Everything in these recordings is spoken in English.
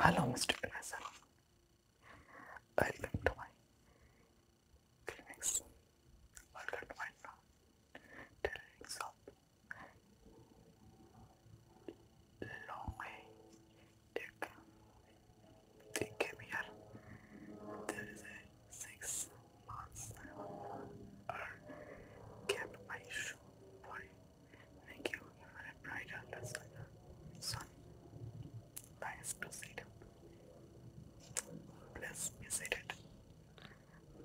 Hello, Mister is Welcome to my clinics. Welcome to my telling shop. Long way you can they came here. There is a six months or kept my shoe Thank you for a bright atlas like the sun. Nice to see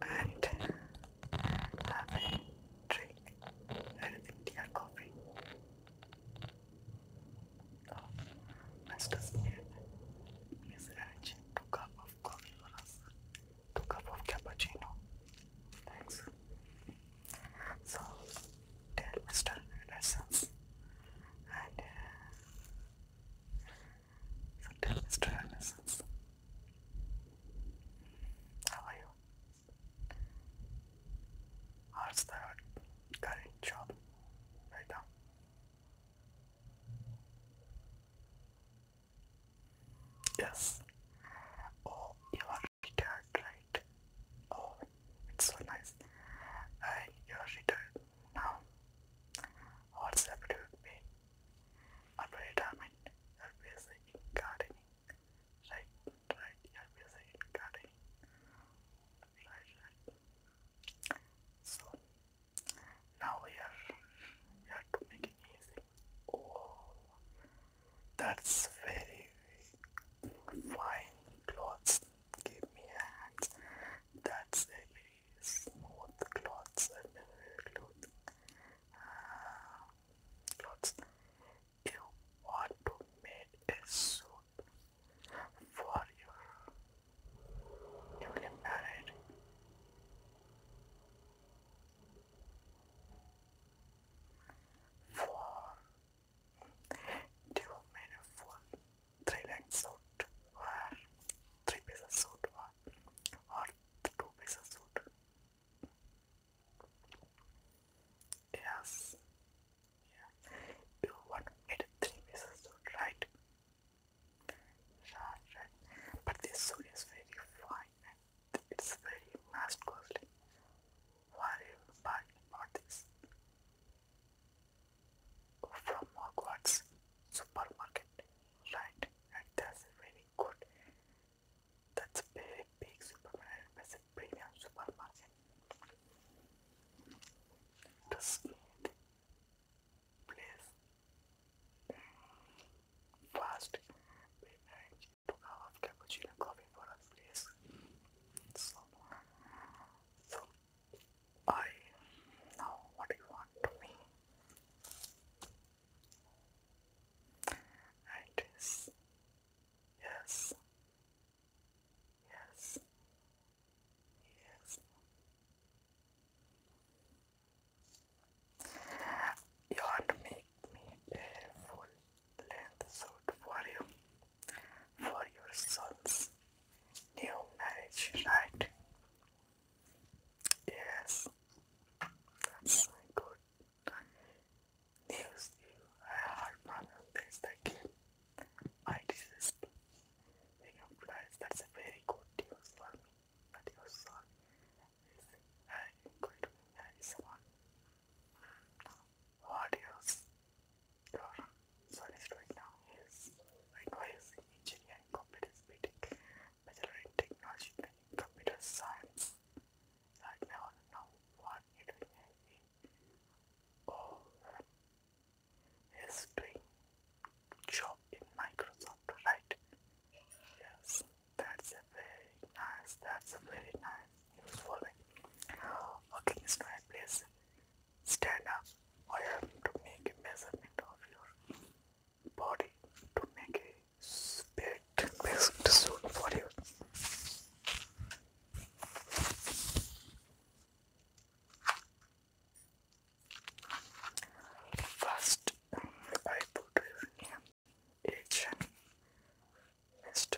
and have drink and tea coffee. Oh, Master Smith is two cup of coffee for Two cup of cappuccino. Thanks. So tell Mr. Anderson and uh, so tell Mr. Anderson how are you? How's the current job right now? Yes. Oh, you are Oh, it's so nice. And uh, you're now. What's happened with me? After retirement, you're busy in gardening. Right, right, you're busy in gardening. Right, right. So, now you're, you're to make it easy. Oh, that's very fine cloths. Give me a hand. That's a smooth cloths and cloth. Uh, cloths. You want to make a suit for your newly married. For two meaningful three-length suit were ah, three-pieces suit were, or two-pieces suit. Yes. Yeah. You want me three-pieces suit, right? Right, right. But this suit is very fine it's very mass warrior by Northeast from Hogwarts supermarket right and that's very good that's very big supermarket that's a premium supermarket this place fast beverage to have cappuccino coffee for us please so, I now what you want to me? And yes, yes, yes, yes. You make me a length suit for you, for your son's new marriage, right? Yes, that's my good news. You have heard that's the game. I desist. He replies, that's a very good news for me, but your son is an incredible nice one what is your service right now? Yes. Likewise, engineering competence meeting, bachelor in technology computer science. Right now, now what you doing? Oh, he's doing job in Microsoft, right? Yes, that's very nice. That's very nice. Okay, it's my Stand up. I have to make a measurement of your body to make a spit best suit for you. First, I put your name, Asian, Mr.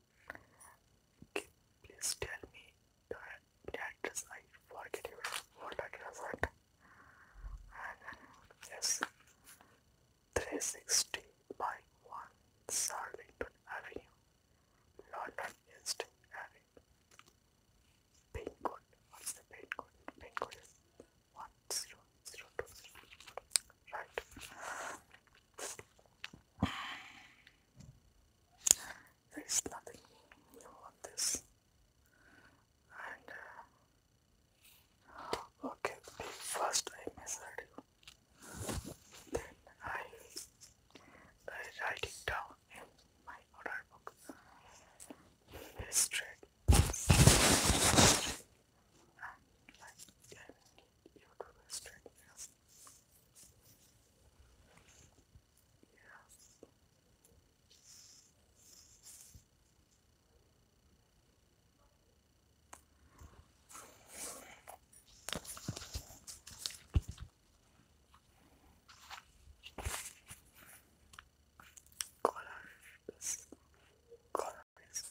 Please tell me the address. I forget even what address it. And yes, 360 by 1 Sarlington Avenue, London East Avenue. Pin What's the pin code? Pin Right there is nothing new on this and uh, okay first I measured you then I, I write it down in my order book straight and I you to straight yes. Yes. Color is color is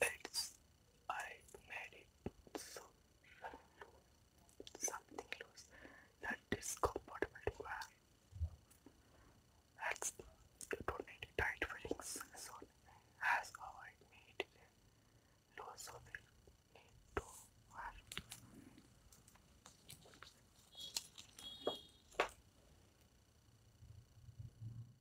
It's I made it so something loose that is comfortable to wear. That's you don't need tight fittings so as I made it loose so they need to wear.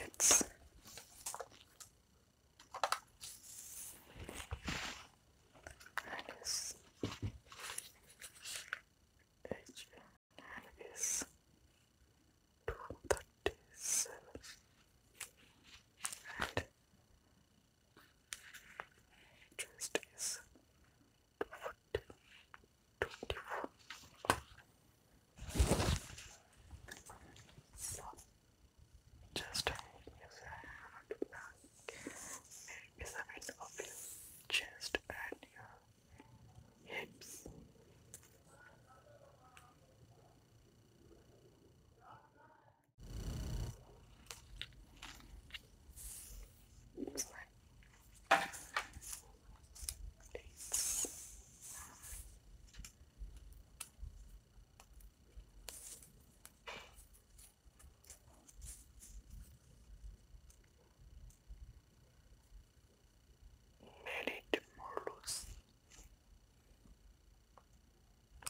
It's H is two thirty seven and chest is two foot twenty four. So chest is around the measurement of your chest and your hips. Made it more loose.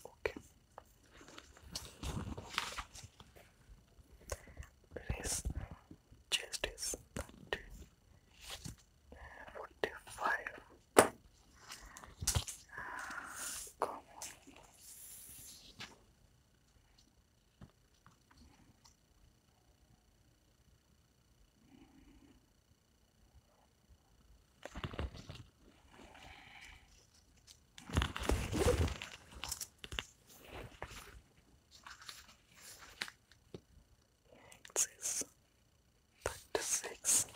Okay. Race chest is 30, Come on. Next is Factor 6.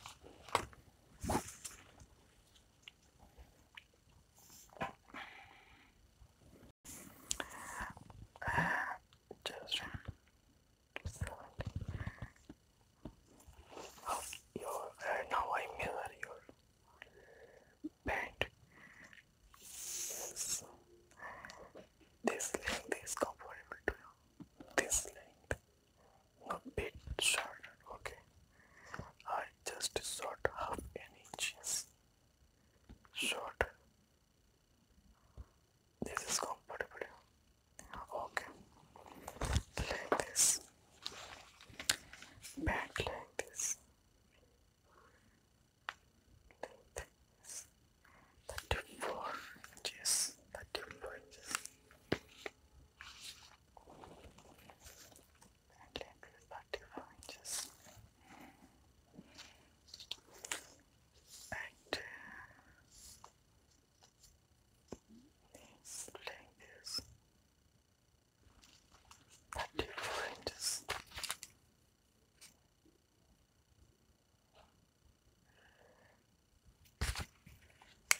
Uh, children, slowly now I mirror your band. this length is comfortable to you. This length, not bit shorter. Okay, I just sort half an inch shorter. This is comfortable. Okay, like this back like this, like this, 34 inches, 34 inches, back like this, 34 inches, and Strangers. Thirty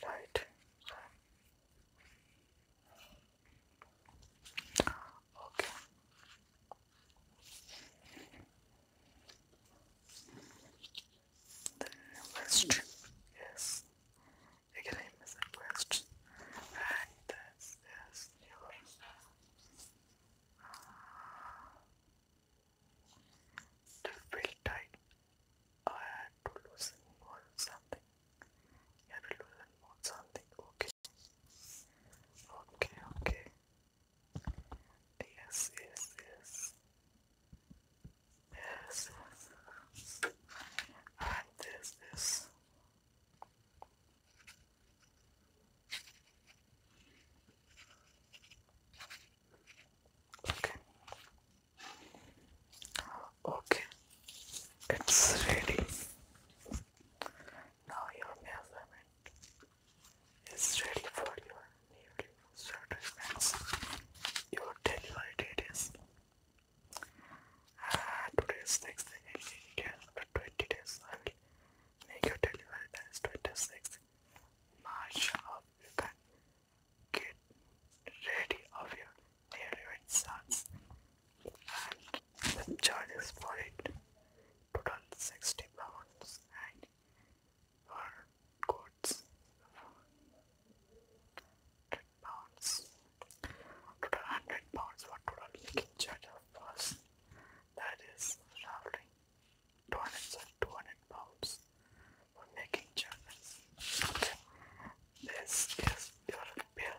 Right. Okay. Then west. Yes again I miss quest and this is to feel tight oh, I had to loosen more something you have to loosen more something okay okay okay yes yes yes and Okay. Okay. It's ready. Now your measurement is ready for your newly certain You will tell you uh, today is 6th again after 20 days I will make your delivery that is 26th March of you can get ready of your delivery sons and the charges for it total 60 pounds and for goods pounds. Total 100 pounds for total making charge of That is roughly 200, pounds for making charges. This is your bill.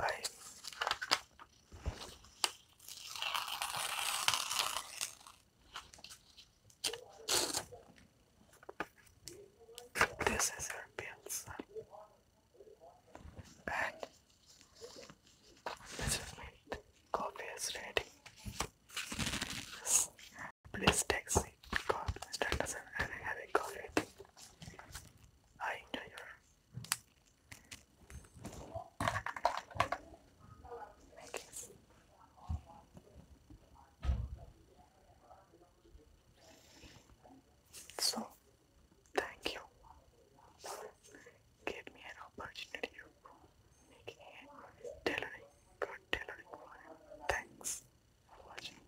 I this is her pizza. And this is coffee is ready. Please take seat because Mr. Anderson and have a coffee. I enjoy your so, thank you for me an opportunity of making a tailoring, good tailoring for you. Thanks for watching.